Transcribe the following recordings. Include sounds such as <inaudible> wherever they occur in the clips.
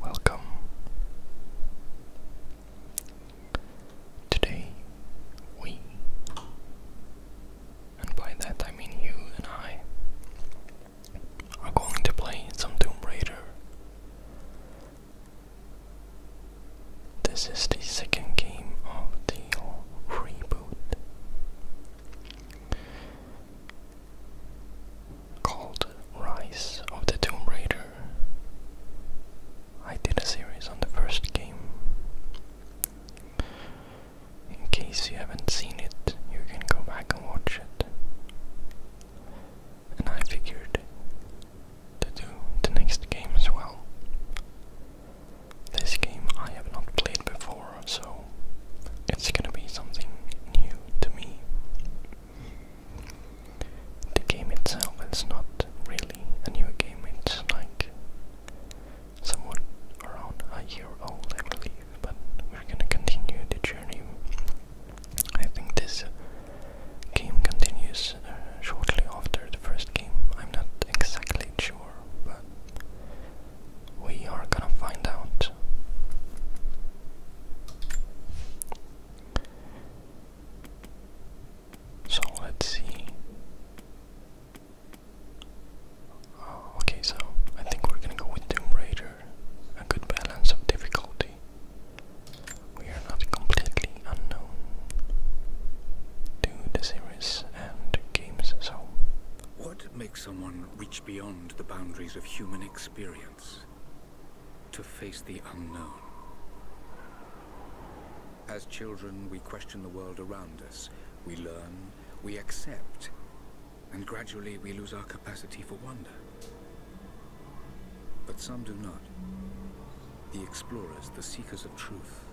Welcome. Today, we, and by that I mean you and I, are going to play some Tomb Raider. This is the second game of the reboot called Rise of the Tomb Raider. I did a series on the first game. In case you haven't seen it, you can go back and watch it. And I figured to do the next game as well. This game I have not played before, so it's gonna be something new to me. The game itself is not really a new game, it's like somewhat around a year old, I believe, but we're gonna continue the journey. I think this game continues uh, shortly after the first game. I'm not exactly sure but we are gonna find out. So let's see. Oh, okay, so I think we're gonna go with Doom Raider. A good balance of difficulty. We are not completely unknown to the series and games. So, what makes someone reach beyond the boundaries of human experience to face the unknown? As children, we question the world around us. We learn, we accept, and gradually we lose our capacity for wonder. But some do not. The explorers, the seekers of truth.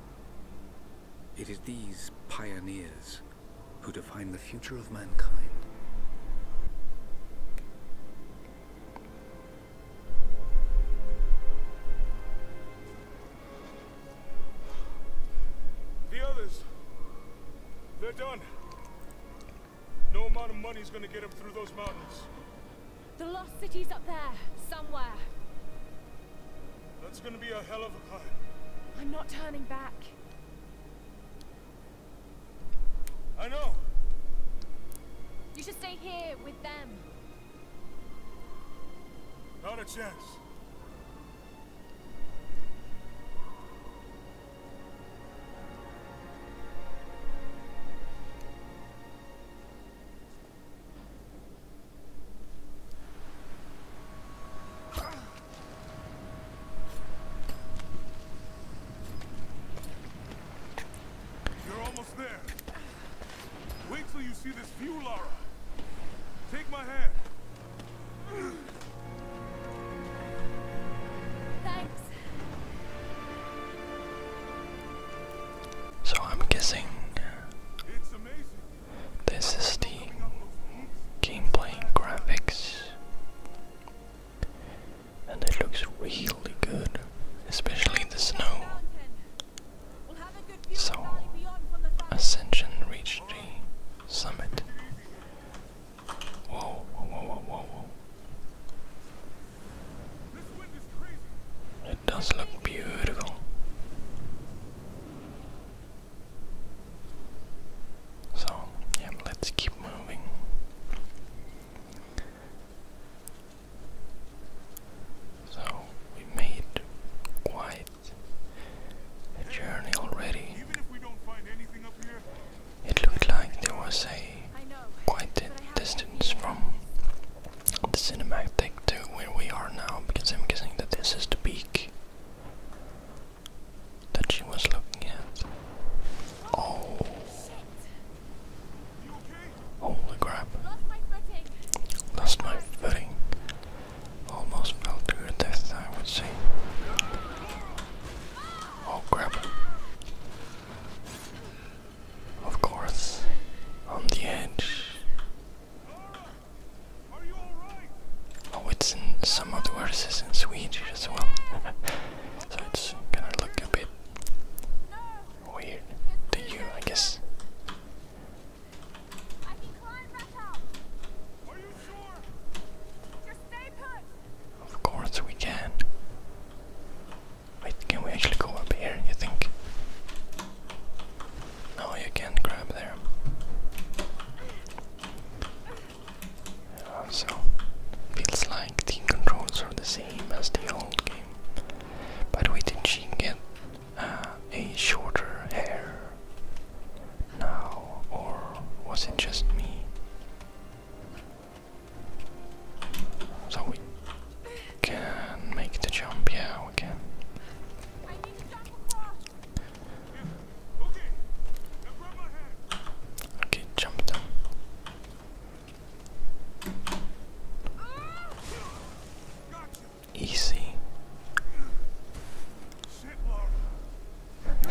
It is these pioneers who define the future of mankind. The others, they're done. No amount of money is going to get them through those mountains. The lost city's up there, somewhere. That's gonna be a hell of a climb. I'm not turning back. I know. You should stay here with them. Not a chance. You're you almost there. Wait till see this view, So I'm guessing uh, this is the gameplay graphics, and it looks really good, especially the snow. So, Ascension reached the summit. whoa, whoa, whoa, whoa, whoa. It does look beautiful. So, yeah, let's keep moving. So, we made quite a journey already. It looked like there was a quite a distance from the cinematic to where we are now because I'm guessing that this is the peak that she was looking at. Oh. Holy crap. Lost my footing. Almost fell to her death, I would say. Oh crap. Of course, on the edge. Oh, it's in some of the verses in Swedish as well, <laughs> so it's gonna look a bit weird to you, I guess. Of course we can. Wait, can we actually go up here, you think? No, you can't grab there. so, feels like the controls are the same as the old game. But we did not get uh, a shorter hair now, or was it just me? So we can make the jump, yeah, we can. Okay, jump down. Easy.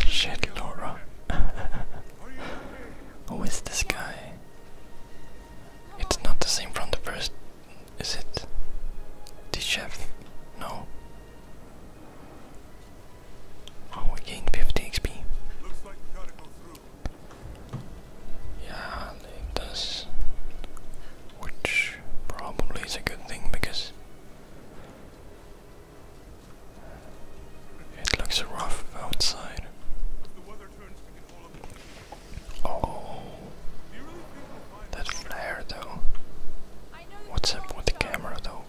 Shit, Laura. <laughs> Who is this guy? It's not the same from the first, is it? The chef? No. Oh, we gained 50 XP. Yeah, it Which probably is a good thing because it looks rough outside. Oh, that flare though. What's up with the camera though?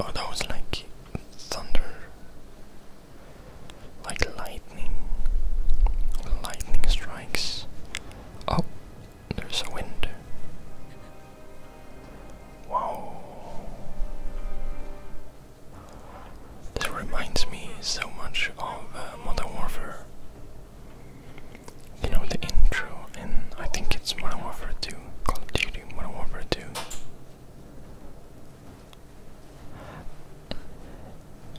Oh, that was like thunder, like lightning. Lightning strikes. Oh, there's a wind. Wow. This reminds me so much of uh, Modern Warfare. You know the intro, and I think it's Modern Warfare 2, Call of Duty Modern Warfare 2.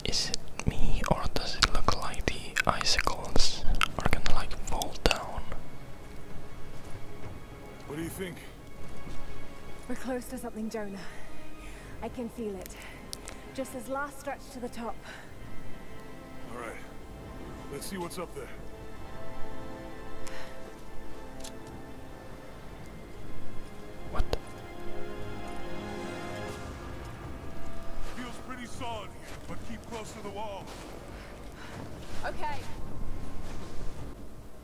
Is it me, or does it look like the icicles are gonna like fall down? What do you think? We're close to something, Jonah. I can feel it. Just this last stretch to the top. All right. Let's see what's up there. What? Feels pretty solid but keep close to the wall. Okay.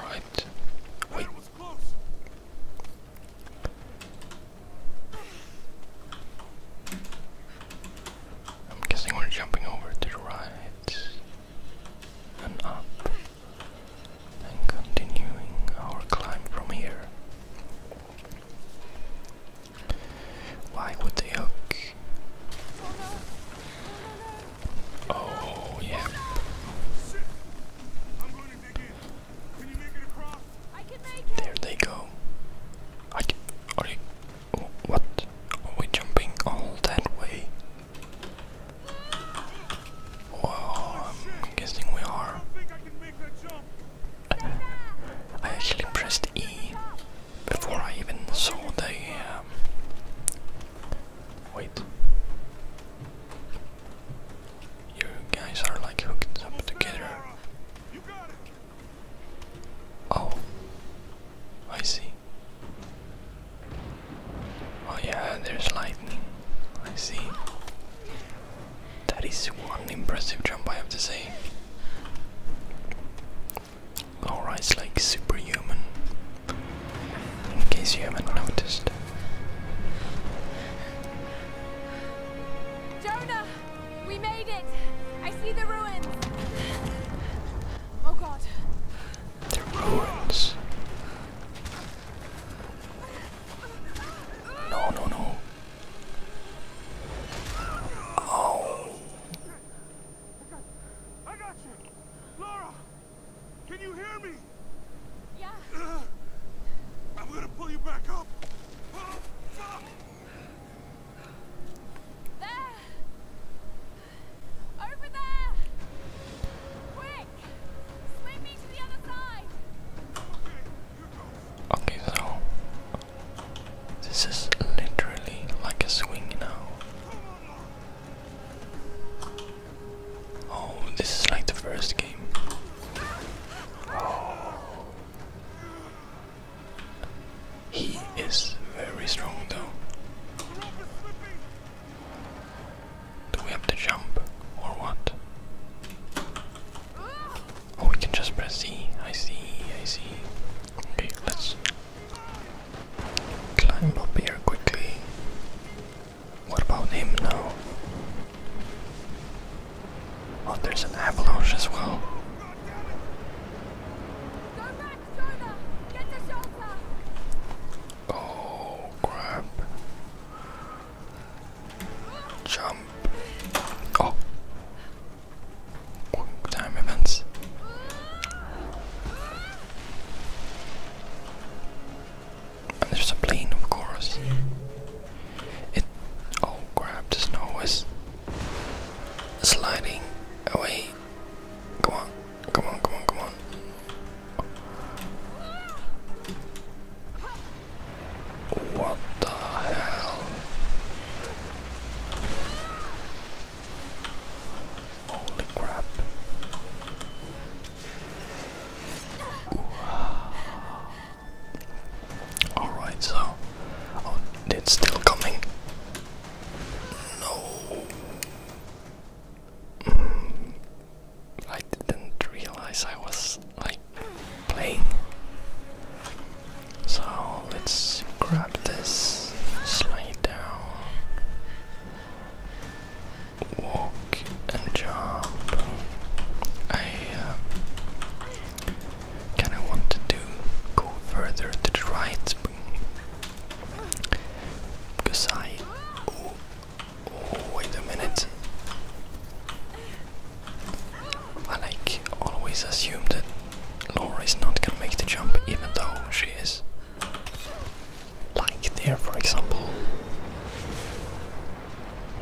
Alright. Wait. I'm guessing we're jumping over to the right and up and continuing our climb from here. Why would they hook? Oh, oh, Oh, yeah. There they go. are you, what? Are we jumping all that way? Wow, I'm guessing we are. I actually pressed E before I even saw the. Um, wait. You guys are like hooked up together. Oh, I see. Oh, yeah, there's lightning. I see. That is one impressive jump, I have to say. Aura is like superhuman, in case you haven't noticed. Jonah! We made it! I see the ruins! Oh god! The ruins. No, no, no. Oh. I got you! Laura! Can you hear me? Yeah. I'm gonna pull you back up. Oh, there! Over there! Quick! Swim me to the other side! Okay, so... This is literally like a swing now. Oh, this is like the first game. He is very strong though. Do we have to jump or what? Oh, we can just press C. I see, I see. Okay, let's Climb up here quickly. What about him now? Oh, there's an avalanche as well. Oh, crap. Jump. Oh time events. And there's a plane, of course. It oh crap! The snow is sliding away. Come on, come on, come on, come on. What the hell? Holy crap. Alright, so. Oh, it's still coming. No. Mm. I didn't realize I was like playing. So let's grab this slide down, walk and jump. I uh, kind of want to go further to the right because I. Oh, oh wait a minute. I like always assume that Laura is not gonna make the jump even though she is. Like there, for example.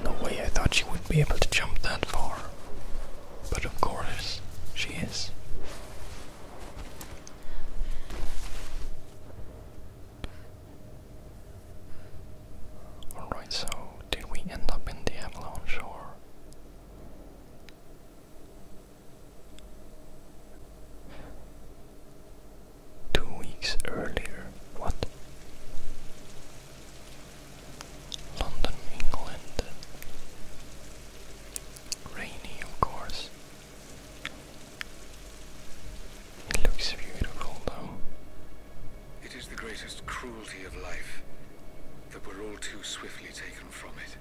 No way I thought she would be able to jump that far. But of course, she is. Alright, so did we end up in the avalanche or. Two weeks earlier, what? London, England. Rainy, of course. It looks beautiful, though. It is the greatest cruelty of life that we're all too swiftly taken from it.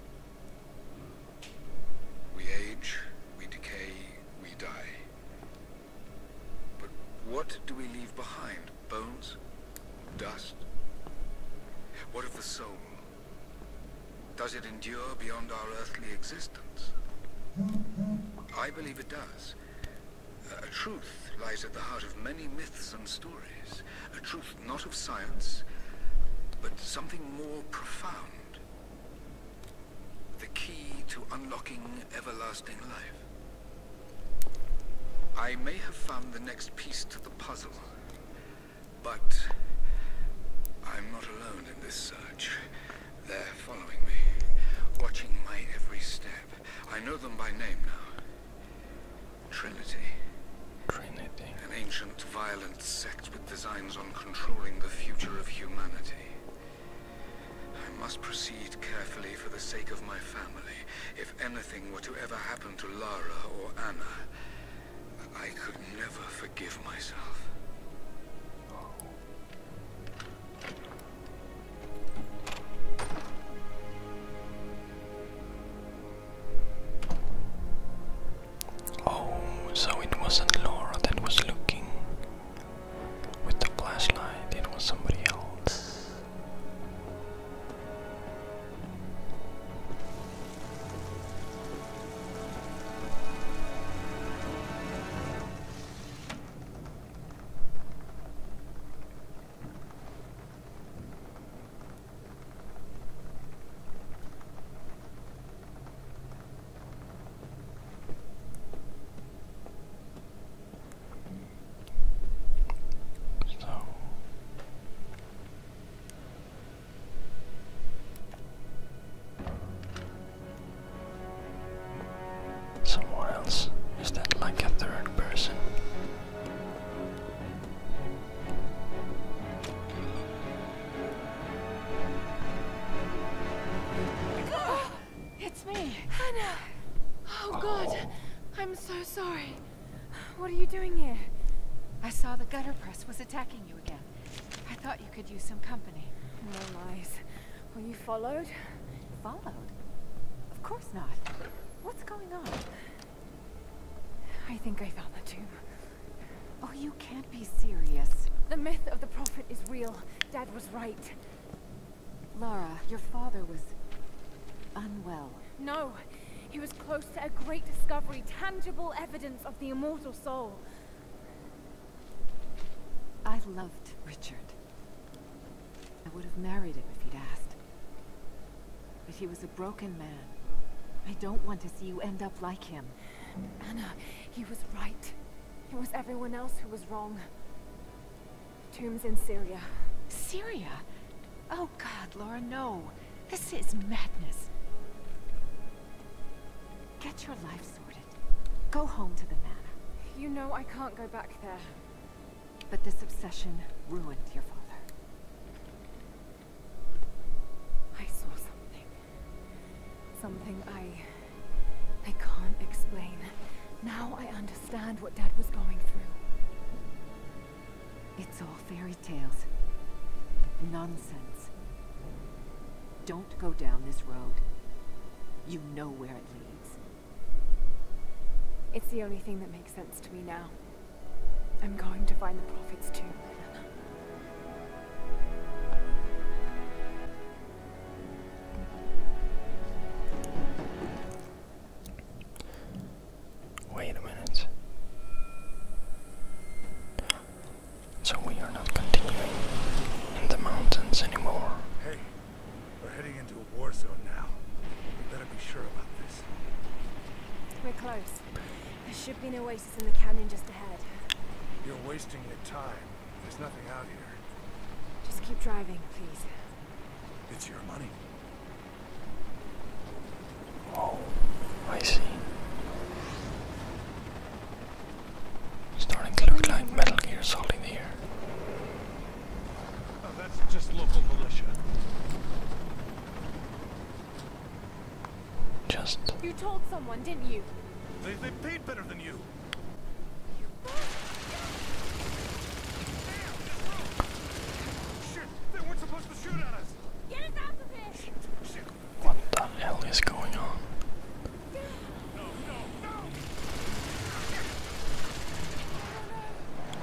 We age, we decay, we die. But what do we leave behind? Bones? Dust? What of the soul? Does it endure beyond our earthly existence? I believe it does. A truth lies at the heart of many myths and stories. A truth not of science, but something more profound. The key to unlocking everlasting life. I may have found the next piece to the puzzle, but I'm not alone in this search. They're following me, watching my every step. I know them by name now. Trinity. Trinity. An ancient, violent sect with designs on controlling the future of humanity. I must proceed carefully for the sake of my family. If anything were to ever happen to Lara or Anna, I could never forgive myself. Oh, so it wasn't Laura that was looking with the flashlight, it was somebody else. So someone else is that like a third person it's me. Hannah! Oh, God. I'm so sorry. What are you doing here? I saw the gutter press was attacking you again. I thought you could use some company. No lies. Well, you followed? Followed? Of course not. What's going on? I think I found the tomb. Oh, you can't be serious. The myth of the Prophet is real. Dad was right. Laura, your father was... unwell. No. He was close to a great discovery, tangible evidence of the immortal soul. I loved Richard. I would have married him if he'd asked. But he was a broken man. I don't want to see you end up like him. Anna, he was right. It was everyone else who was wrong. Tombs in Syria. Syria? Oh god, Laura, no. This is madness. Get your life sorted. Go home to the manor. You know I can't go back there. But this obsession ruined your father. I saw something. Something I... I can't explain. Now I understand what Dad was going through. It's all fairy tales. Nonsense. Don't go down this road. You know where it leads. It's the only thing that makes sense to me now. I'm going to find the Prophet's tomb, Wait a minute. So we are not continuing in the mountains anymore. Hey, we're heading into a war zone now. We better be sure about this. We're close. There should be an oasis in the canyon just ahead. You're wasting your time. There's nothing out here. Just keep driving, please. It's your money. Oh, I see. Starting to look like Metal Gear Solid here. Oh, that's just local militia. Just. You told someone, didn't you? They, they paid better than you. What the hell is going on?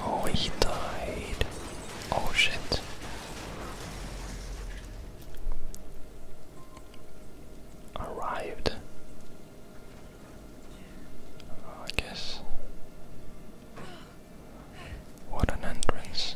Oh, he died. Oh shit arrived. Oh, I guess. What an entrance.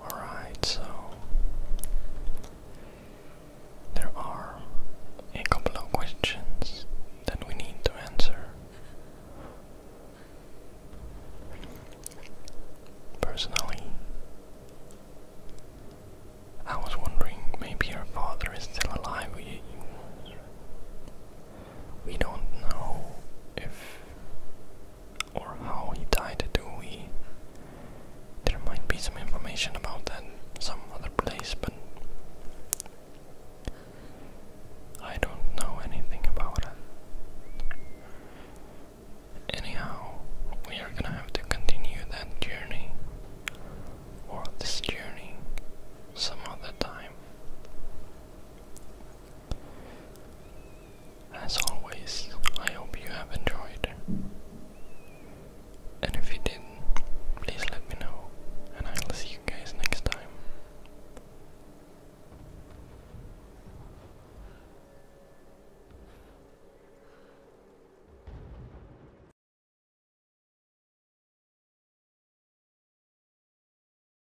Alright, so there are a couple of questions that we need to answer. Personally, I was wondering maybe your father is still alive. We don't know if or how he died, do we? There might be some information about that some other place, but I don't know anything about it. Anyhow, we are gonna have to continue that journey, or this journey, some other time. As always, I hope you have enjoyed. And if you did please let me know, and I will see you guys next time.